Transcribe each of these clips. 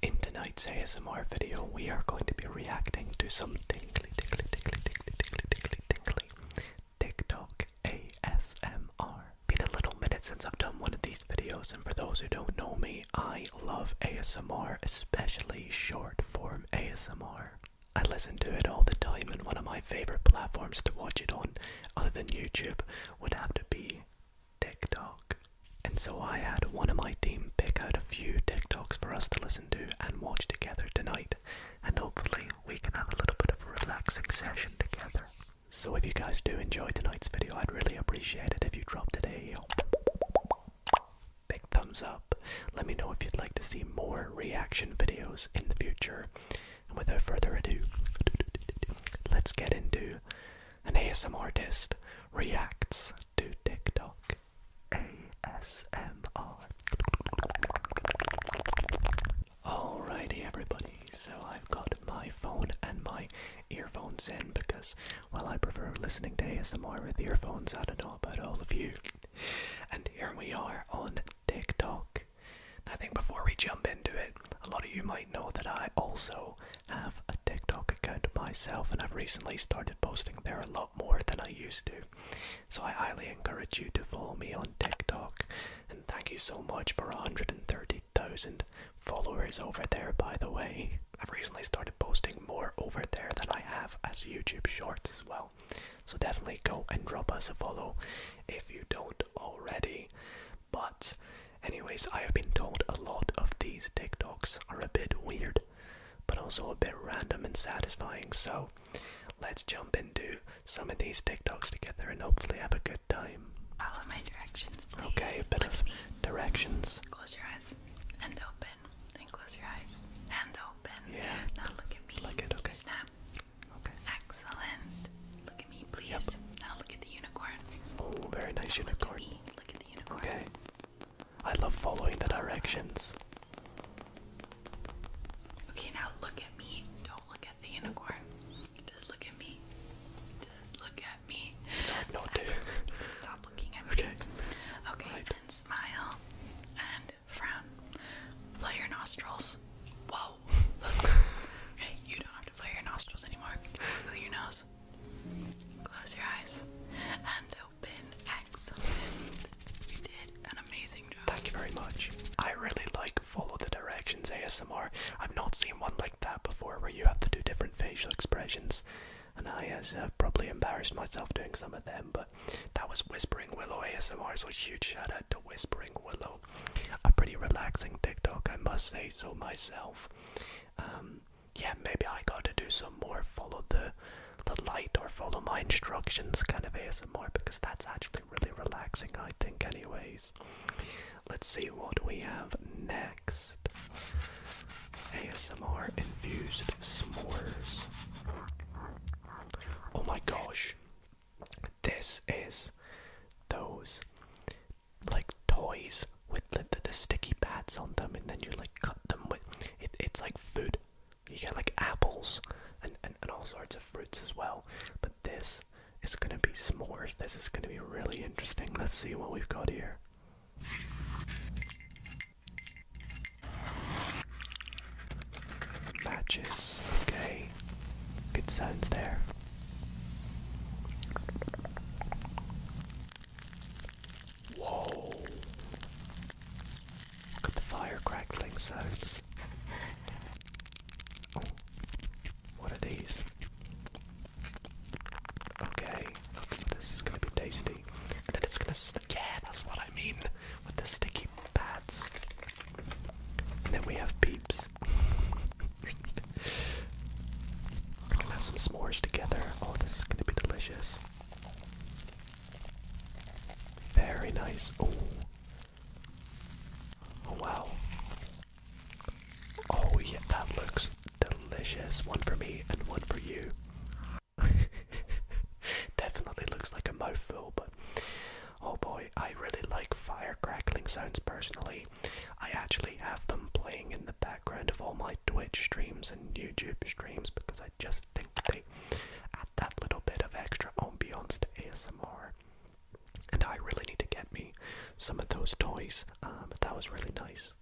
In tonight's ASMR video, we are going to be reacting to some tingly, tingly, tingly, tingly, tingly, tingly, tingly, TikTok ASMR. Been a little minute since I've done one of these videos, and for those who don't know me, I love ASMR, especially short form ASMR. I listen to it all the time, and one of my favorite platforms to watch it on, other than YouTube, would have to be TikTok. And so I had one of my team pick out a few TikToks for us to listen to and watch together tonight, and hopefully we can have a little bit of a relaxing session together. So if you guys do enjoy tonight's video, I'd really appreciate it if you dropped it a big thumbs up. Let me know if you'd like to see more reaction videos in the future. And without further ado, let's get into an ASM artist reacts to TikTok. ASMR. Alrighty, everybody. So I've got my phone and my earphones in because, while I prefer listening to ASMR with earphones. I don't know about all of you. And here we are on TikTok. I think before we jump into it, a lot of you might know that I also have a TikTok account myself, and I've recently started posting there a lot more than I used to. So I highly encourage you to follow me on TikTok, and thank you so much for 130,000 followers over there, by the way. I've recently started posting more over there than I have as YouTube Shorts as well. So definitely go and drop us a follow if you don't already. But, anyways, I have been told a lot of these TikToks are a bit weird, but also a bit random and satisfying. So, let's jump into some of these TikToks together and hopefully have a good time. Follow my directions, please. Okay, a bit directions. Close your eyes and open. Then close your eyes and open. Yeah. Now look at me. Look at okay. Snap. Okay. Excellent. Look at me, please. Now look at the unicorn. Oh, very nice unicorn. look at Okay. I love following the directions. Okay, now look at me. Don't look at the unicorn. Just look at me. Just look at me. It's not to. Okay. Okay, right. smile and frown. Play your nostrils. Whoa. okay, you don't have to play your nostrils anymore. Play your nose. Close your eyes and open. X. You did an amazing job. Thank you very much. I really like follow the directions ASMR. I've not seen one like that before where you have to do different facial expressions. And I has uh, uh, probably embarrassed myself doing some of them, but that was Whispering Willow ASMR, so huge shout out to Whispering Willow. A pretty relaxing TikTok, I must say so myself. Um, yeah, maybe I got to do some more follow the the light or follow my instructions kind of ASMR because that's actually really relaxing, I think. Anyways, let's see what we have next. ASMR infused s'mores. Oh my gosh, this is those like toys with the, the, sticky pads on them, and then you like cut them with it, it's like food. You get like apples and, and, and all sorts of fruits as well. But this is gonna be s'mores. This is gonna be really interesting. Let's see what we've got here. Matches, okay. Good signs there. Whoa! Look the fire crackling sounds. Oh, what are these? Okay, this is gonna be tasty. And then it's gonna stick. Yeah, that's what I mean with the sticky pads. then we have peeps. We're gonna have some s'mores together. Oh, this is gonna be delicious. Very nice. Oh. Oh wow. Oh yeah, that looks delicious. One for me and one for you. Definitely looks like a mouthful, but oh boy, I really like fire crackling sounds personally, I actually have them playing in the background of all my Twitch streams and YouTube streams because I just think they add that little bit of extra ambiance to ASMR. And I really need to get me some of those toys. Um, that was really nice.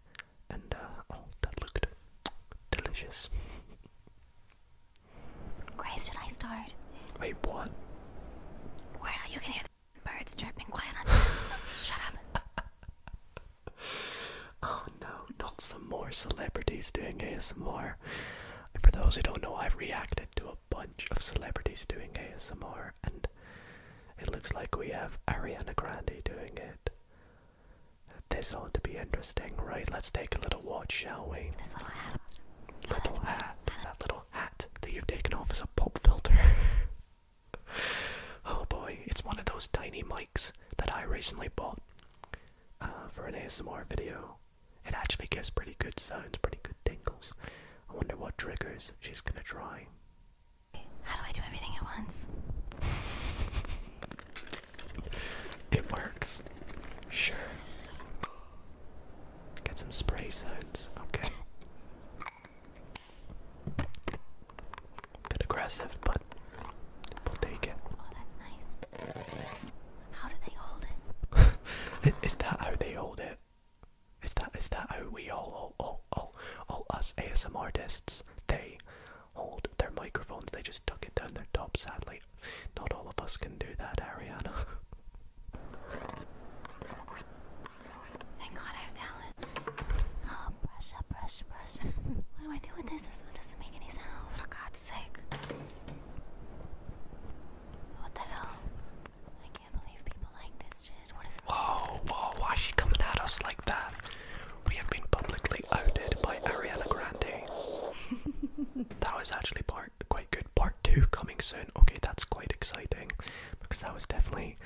And uh, oh, that looked delicious. Grace, should I start? Wait, what? Well, you can hear Birds chirping quiet on Shut up. oh no, not some more celebrities doing ASMR. for those who don't know, I've reacted to a bunch of celebrities doing ASMR, and it looks like we have Ariana Grande doing it. This ought to be interesting, right? Let's take a little watch, shall we? This little hat. Little hat. That little hat that you've taken off is a pop filter. oh boy, it's one of those tiny mics that I recently bought uh, for an ASMR video. It actually gives pretty good sounds, pretty good tingles. I wonder what triggers she's gonna try. How do I do everything at once? It works. Sure. Get some spray sounds. Okay. Bit aggressive, but we'll take it. Oh, how do they hold it? is that how they hold it? Is that is that how we all all all all us ASM artists? They hold their microphones. They just tuck it down their top. Sadly, not all of us can do that, Ariana. Thank God I have talent. Oh, brush up, brush, brush. what do I do with this? This one doesn't make any sound. For God's sake. What the hell? I can't believe people like this shit. What is Whoa, whoa, why is she coming at us like that? We have been publicly outed by Ariana Grande. that was actually part quite good. Part two coming soon. Okay, that's quite exciting. Because that was definitely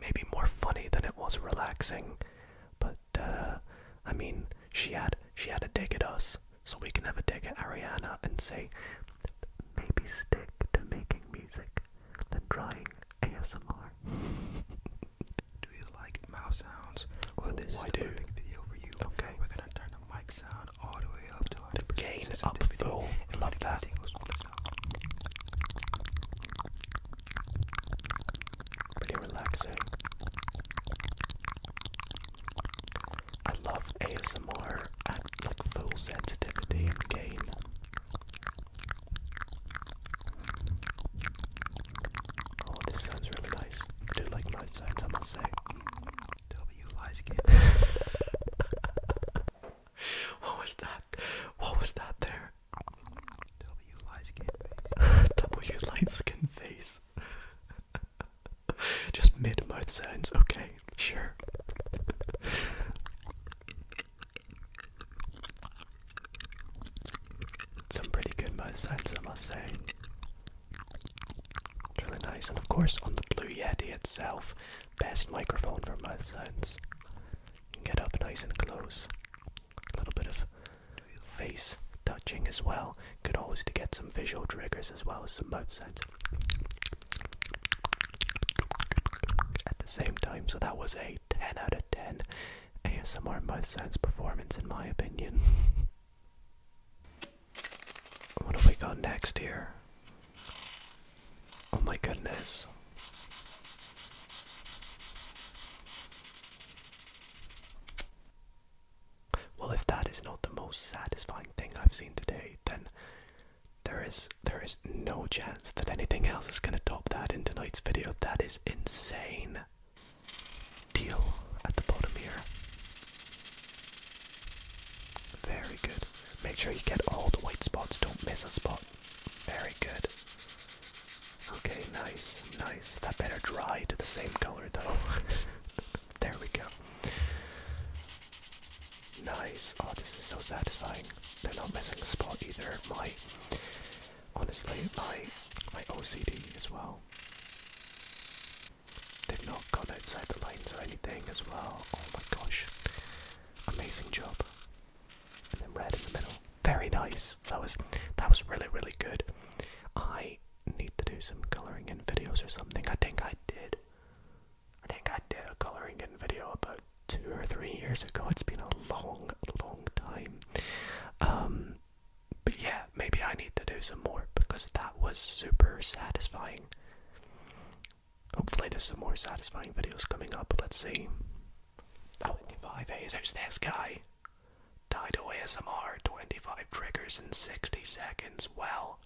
maybe more funny than it was relaxing. But uh, I mean, she had she had a dig at us, so we can have a dig at Ariana and say maybe stick to making music than trying ASMR. Do you like mouse sounds? Well, this is oh, I the perfect video for you. Okay, we're gonna turn the mic sound all the way up Gain up full. Love that. Pretty relaxing. I love ASMR I like full sensitivity and gain. Oh, this sounds really nice. I do like night sounds, I must say. W lies what was that? What was that there? W light skin face. w light skin face. Just mid mouth sounds. Okay, sure. Some pretty good mouth sounds, I must say. really nice, and of course, on the Blue Yeti itself, best microphone for my sense. Get up nice and close. A little bit of face touching as well. Good always to get some visual triggers as well as some mouth sounds at the same time. So that was a 10 out of 10 ASMR mouth sounds performance in my opinion. what do we got next here? Oh my goodness. Well, if that is not the most satisfying thing I've seen today, then there is there is no chance that anything else is gonna top that in tonight's video. That is insane. Deal at the bottom here. Very good. Make sure you get all the white spots. Don't miss a spot. Very good. Okay, nice, nice. That better dry to the same color though. there we go. Nice. Oh, this is so satisfying. They're not missing a spot either. My, honestly, my, my OCD as well. They've not gone outside the lines or anything as well. Oh my gosh. Amazing job. And then red in the middle. Very nice. That was that was really really good. I need to do some colouring in videos or something. I think I did. I think I did a colouring in video about two or three years ago. It's been a long, long time. Um but yeah, maybe I need to do some more because that was super satisfying. Hopefully there's some more satisfying videos coming up, let's see. 25 A's, there's this guy. Dido ASMR, 25 triggers in 60 seconds, Well,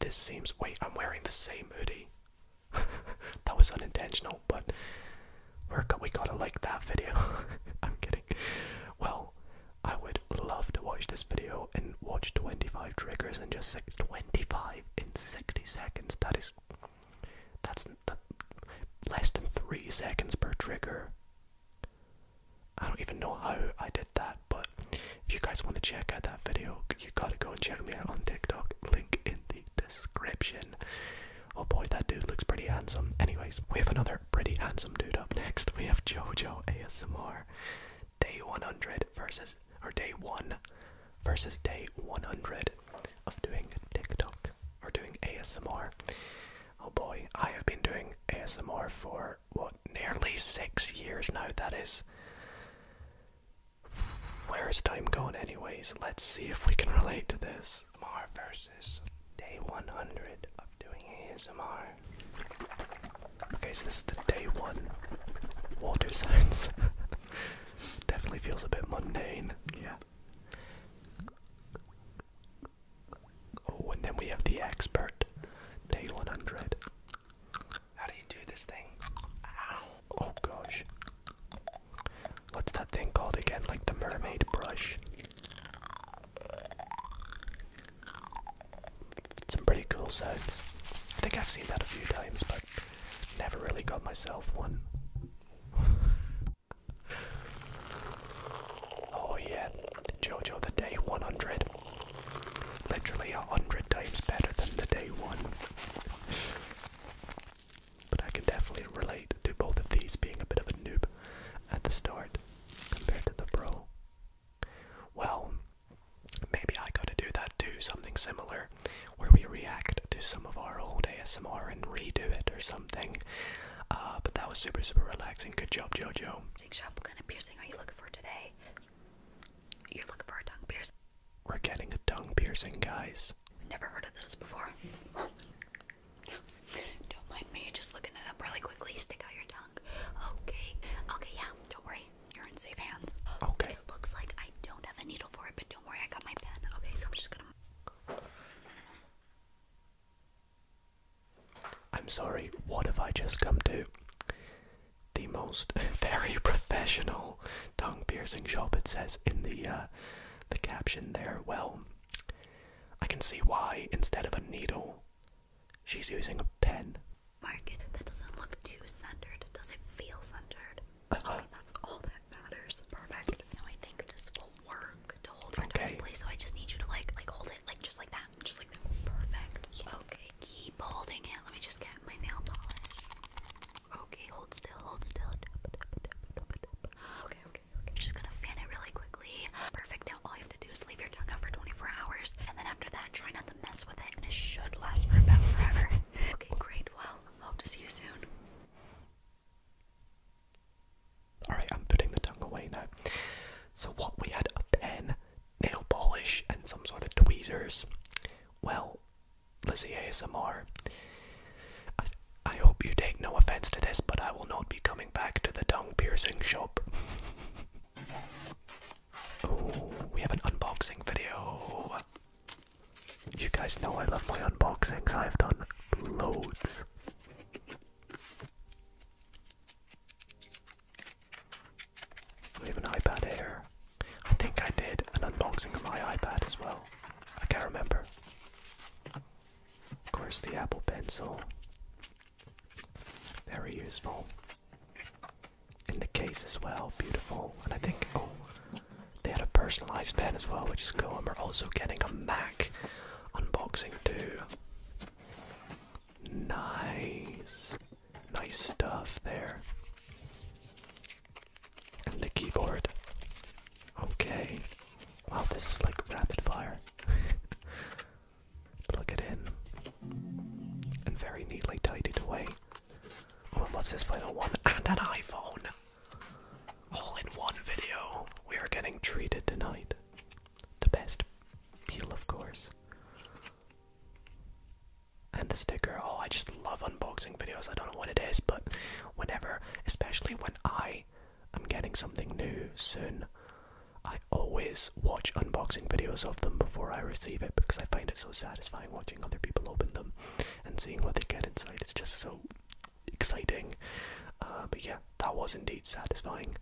This seems, wait, I'm wearing the same hoodie. that was unintentional, but we're, we gotta like that video. I'm kidding. Well, I would love to watch this video and watch 25 triggers in just six, 25 in 60 seconds. That is, that's less than three seconds per trigger. I don't even know how I did that, but if you guys want to check out that video, you gotta go and check me out on TikTok. Link in the description. Oh boy, that dude looks pretty handsome. Anyways, we have another pretty handsome dude up next. We have JoJo ASMR. Day 100 versus or day one versus day 100 of doing TikTok or doing ASMR. Oh boy, I have been doing ASMR for what nearly six years now. That is. Where is time going, anyways? Let's see if we can relate to this. ASMR versus day 100 of doing ASMR. Okay, so this is the day one water signs. Definitely feels a bit mundane. Yeah. Oh, and then we have the expert. Day 100. How do you do this thing? Oh gosh. What's that thing called again? Like the mermaid brush? Some pretty cool sounds. I think I've seen that a few times, but never really got myself one. oh yeah, Jojo the day 100. Literally a hundred times better than the day one. But I can definitely relate to both of these being a bit of a noob at the start compared to the pro. Well, maybe I gotta do that too, something similar, where we react to some of our old ASMR and redo it or something. Uh, but that was super, super relaxing. Good job, Jojo. what kind of piercing are you looking for today? You're looking for a tongue piercing? We're getting a tongue piercing, guys. Never heard of those before. Don't mind me, just looking it up really quickly. Stick out your tongue. Okay. Okay, yeah, don't worry. You're in safe hands. Okay. It looks like I don't have a needle for it, but don't worry, I got my pen. Okay, so I'm just gonna. I'm sorry, what have I just come to? The most very professional tongue piercing shop, it says in the uh, the caption there. Well, I can see why, instead of a needle, She's using a pen. Mark, that doesn't look too centered. Does it feel centered? Uh-huh. Okay, that's all that matters. Perfect. Now I think this will work to hold it in place. So I just need you to like, like hold it, like just like that, just like that. Perfect. Okay, keep holding it. Let me just get my nail polish. Okay, hold still, hold still. Okay, okay, okay. just gonna fan it really quickly. Perfect. Now all to do is leave your tongue out for 24 hours, and then after that, try not to mess with it, and it should last for about forever. Okay, great. Well, hope to see you soon. Alright, I'm putting the tongue away now. So, what we had a pen, nail polish, and some sort of tweezers. Well, Lizzie ASMR. I, I hope you take no offense to this, but I will not be coming back to the tongue piercing shop. Oh, we have an unboxing video. You guys know I love my unboxings. I've done loads. We have an iPad here. I think I did an unboxing of my iPad as well. I can't remember. Of course, the Apple Pencil. Very useful. In the case as well, beautiful. And I think, oh, they had a personalized pen as well, which is cool. And we're also getting a Mac unboxing too. Nice. Nice stuff there. And the keyboard. Okay. Wow, this is like rapid fire. Plug it in. And very neatly tidied away. Oh, and what's this final one? And an iPhone! All in one video. We are getting treated tonight. The best peel, of course. And the sticker. Oh, I just love unboxing videos. I don't know what it is, but whenever, especially when I am getting something new soon, I always watch unboxing videos of them before I receive it because I find it so satisfying watching other people open them and seeing what they get inside. It's just so exciting. Uh, but yeah, that was indeed satisfying.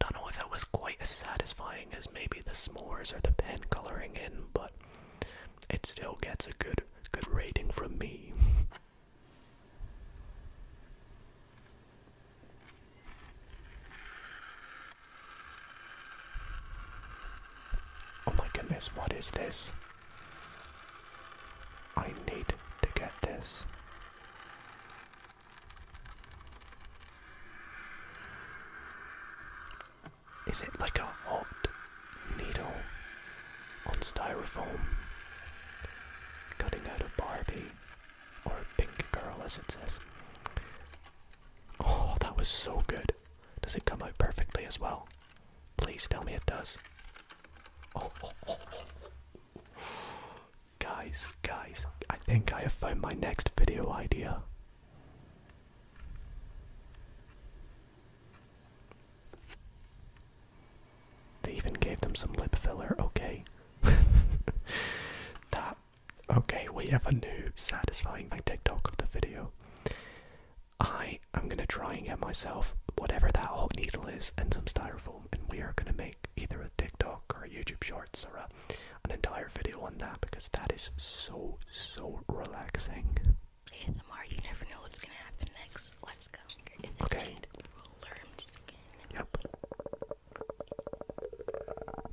Don't know if that was quite as satisfying as maybe the s'mores or the pen coloring in, but it still gets a good good rating from me. Oh my goodness, what is this? I need to get this. Is it like a hot needle on styrofoam? Cutting out a Barbie. Or pink girl, as it says. Oh, that was so good. Does it come out perfectly as well? Please tell me it does. Oh, oh, oh, oh. oh. Guys, guys, I think I have found my next video idea. They even gave them some lip filler, okay. that Okay, we have a new satisfying like TikTok of the video. I am gonna try and get myself whatever that hot needle is and some styrofoam, and we are gonna make either a TikTok or a YouTube Shorts or an entire video on that because that is so so relaxing. okay. Yep.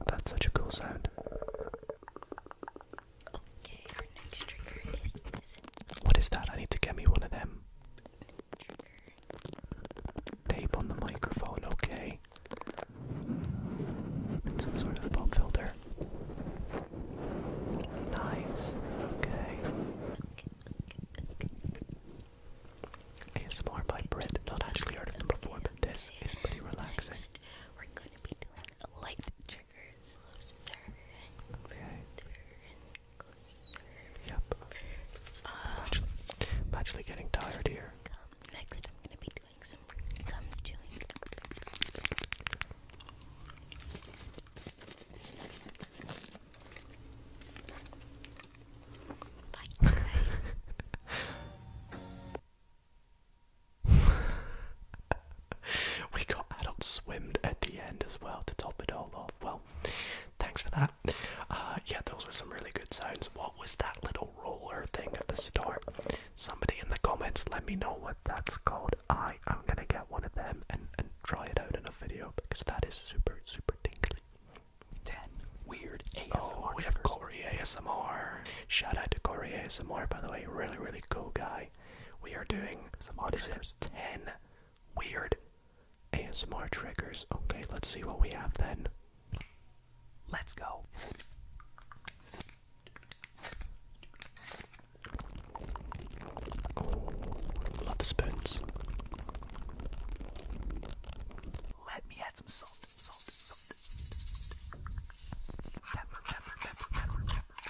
That's such a cool sound. Okay, our next trigger is this. What is that? I need to get me one of them. Tape on the microphone, okay. some sort of pop filter. Nice, okay. ASMR by Brit. Not actually heard of them before, but this is pretty relaxing. Next, Yep. I'm, actually, I'm actually getting tired here. Next, I'm going to be doing some gum chewing. we got adult swimmed at the end as well to top it all off. Well, thanks for that. Uh, yeah, those were some really good sounds. What was that little roller thing at the start? Somebody in the comments, let me know what that's called. I am gonna get one of them and, and try it out in a video because that is super, super tingly. 10 weird ASMR. Oh, we have Corey ASMR. Shout out to Corey ASMR, by the way. Really, really cool guy. We are doing some is it 10 weird ASMR triggers. Okay, let's see what we have then. Let's go. love the spoons. Let me add some salt.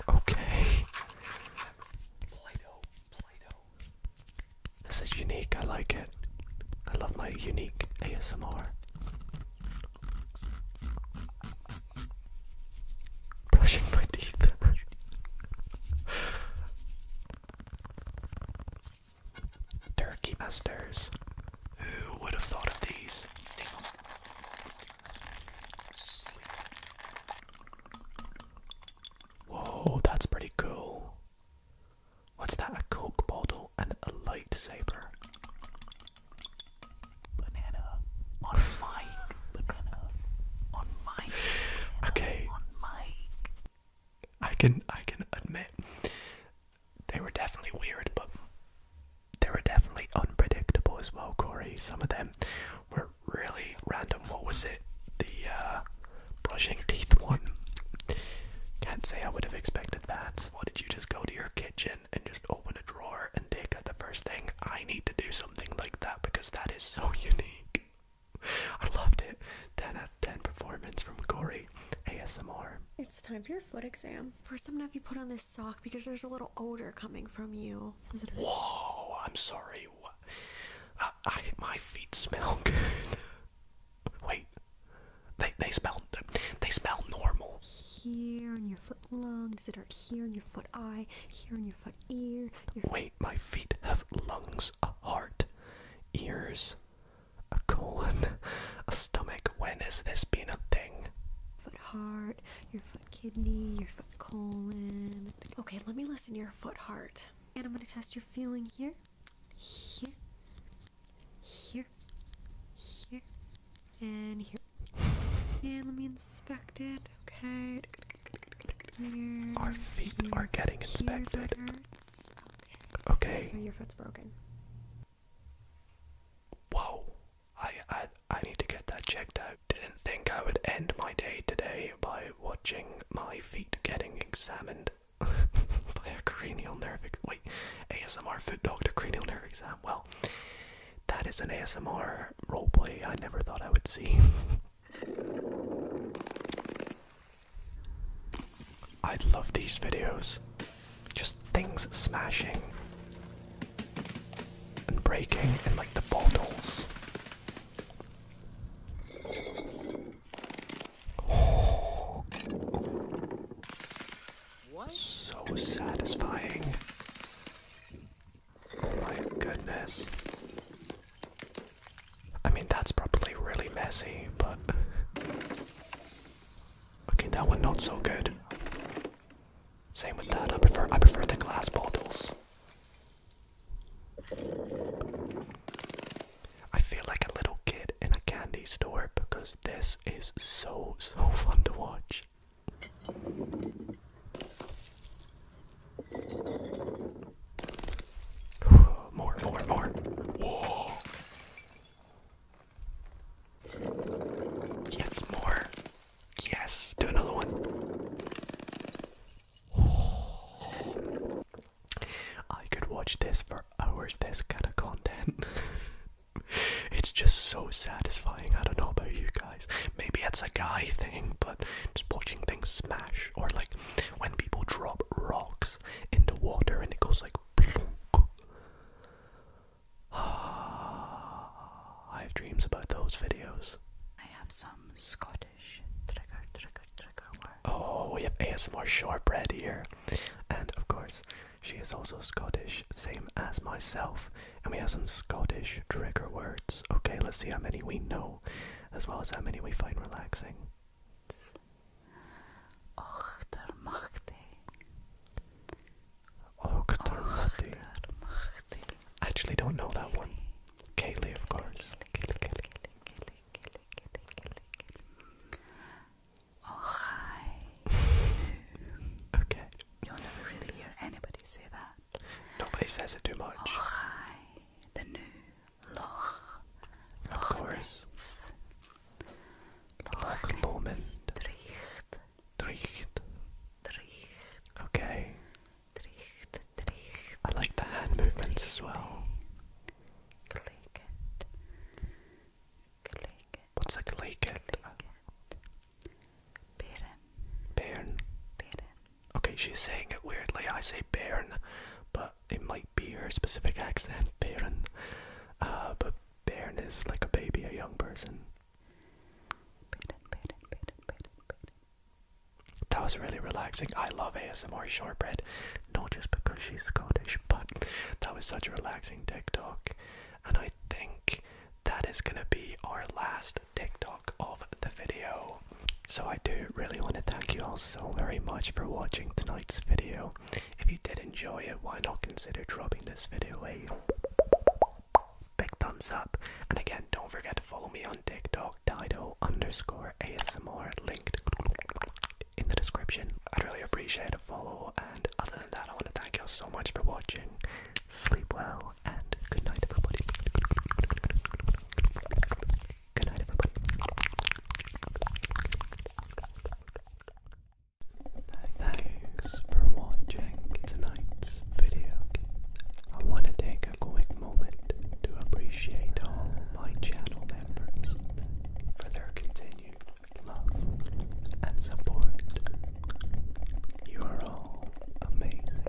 Okay. This is unique. I like it. I love my unique ASMR. Brushing my teeth. Turkey masters. Who would have thought of these? Whoa, that's pretty cool. What's that? A coke bottle and a lightsaber. Banana on my banana on my. Okay. On my. I can I can admit they were definitely weird, but they were definitely unpredictable as well, Corey. Some of them were really random. What was it? The uh, brushing teeth one. Can't say I would have expected that. Why did you just go to your kitchen and just open a drawer and take out the first thing? I need to do something like that because that is so unique. I loved it. 10 10 performance from Corey ASMR. It's time for your foot exam. First, I'm gonna have you put on this sock because there's a little odor coming from you. Whoa, I'm sorry. I, my feet smell good. Wait, they, they smell, they smell normal. Here in your foot lung, Is it here in your foot eye, here in your foot ear? Wait, my feet have lungs, a heart, ears, a colon, a stomach. When has this been a thing? Foot heart, your foot kidney, your foot colon. Okay, let me listen to your foot heart. And I'm gonna test your feeling here, here, here, here, and here. And let me inspect it. Okay. Our feet are getting inspected. Hurts. Okay. So your foot's broken. Whoa. I I I need to get that checked out. Didn't think I would end my day today by watching my feet getting examined by a cranial nerve wait, ASMR foot doctor cranial nerve exam. Well, that is an ASMR roleplay I never thought I would see. I love these videos. Just things smashing and breaking and like the bottles. So satisfying. Oh my goodness. I mean, that's probably really messy, but. Okay, that one not so good. Same with that. I prefer I prefer the glass bottles. I feel like a little kid in a candy store because this is so so fun to watch. More, more, more. Whoa. Yes, more. Yes, do another one. I could watch this for hours, this kind of content. it's just so satisfying. I don't know about you guys. Maybe it's a guy thing, but just watching things smash or like when people drop rocks into water and it goes like plunk. I have dreams about those videos. I have some Scottish trigger, trigger, trigger words. Oh, we have ASMR shortbread here. And of course, she is also Scottish, same as myself. And we have some Scottish trigger words. Okay, let's see how many we know, as well as how many we find relaxing actually don't know that one. Kaylee, of course. Kaylee, Kaylee. Oh, okay. You'll never really hear anybody say that. Nobody says it too much. Oh, of course. Loch Lomond. Tricht. Tricht. Tricht. Okay. Tricht, tricht. I like the hand movements as well. Click it. What's that? click it? Bairn. Bairn. Bairn. Okay, she's saying it weirdly. I say bairn, but it might be her specific accent, Bären. Uh, but Bären is like a baby, a young person. That was really relaxing. I love ASMR shortbread, not just because she's Scottish, but that was such a relaxing TikTok. And I think that is gonna be our last TikTok of the video. So I do really want to thank you all so very much for watching tonight's video. If you did enjoy it, why not consider dropping this video a big thumbs up? And again, don't forget to follow me on TikTok, Dido underscore ASMR, linked in the description. I'd really appreciate a follow. And other than that, I want to thank you all so much for watching. Sleep well and good night, everybody. Good night, everybody. Thanks for watching tonight's video. I want to take a quick moment to appreciate all my channel members for their continued love and support. You are all amazing.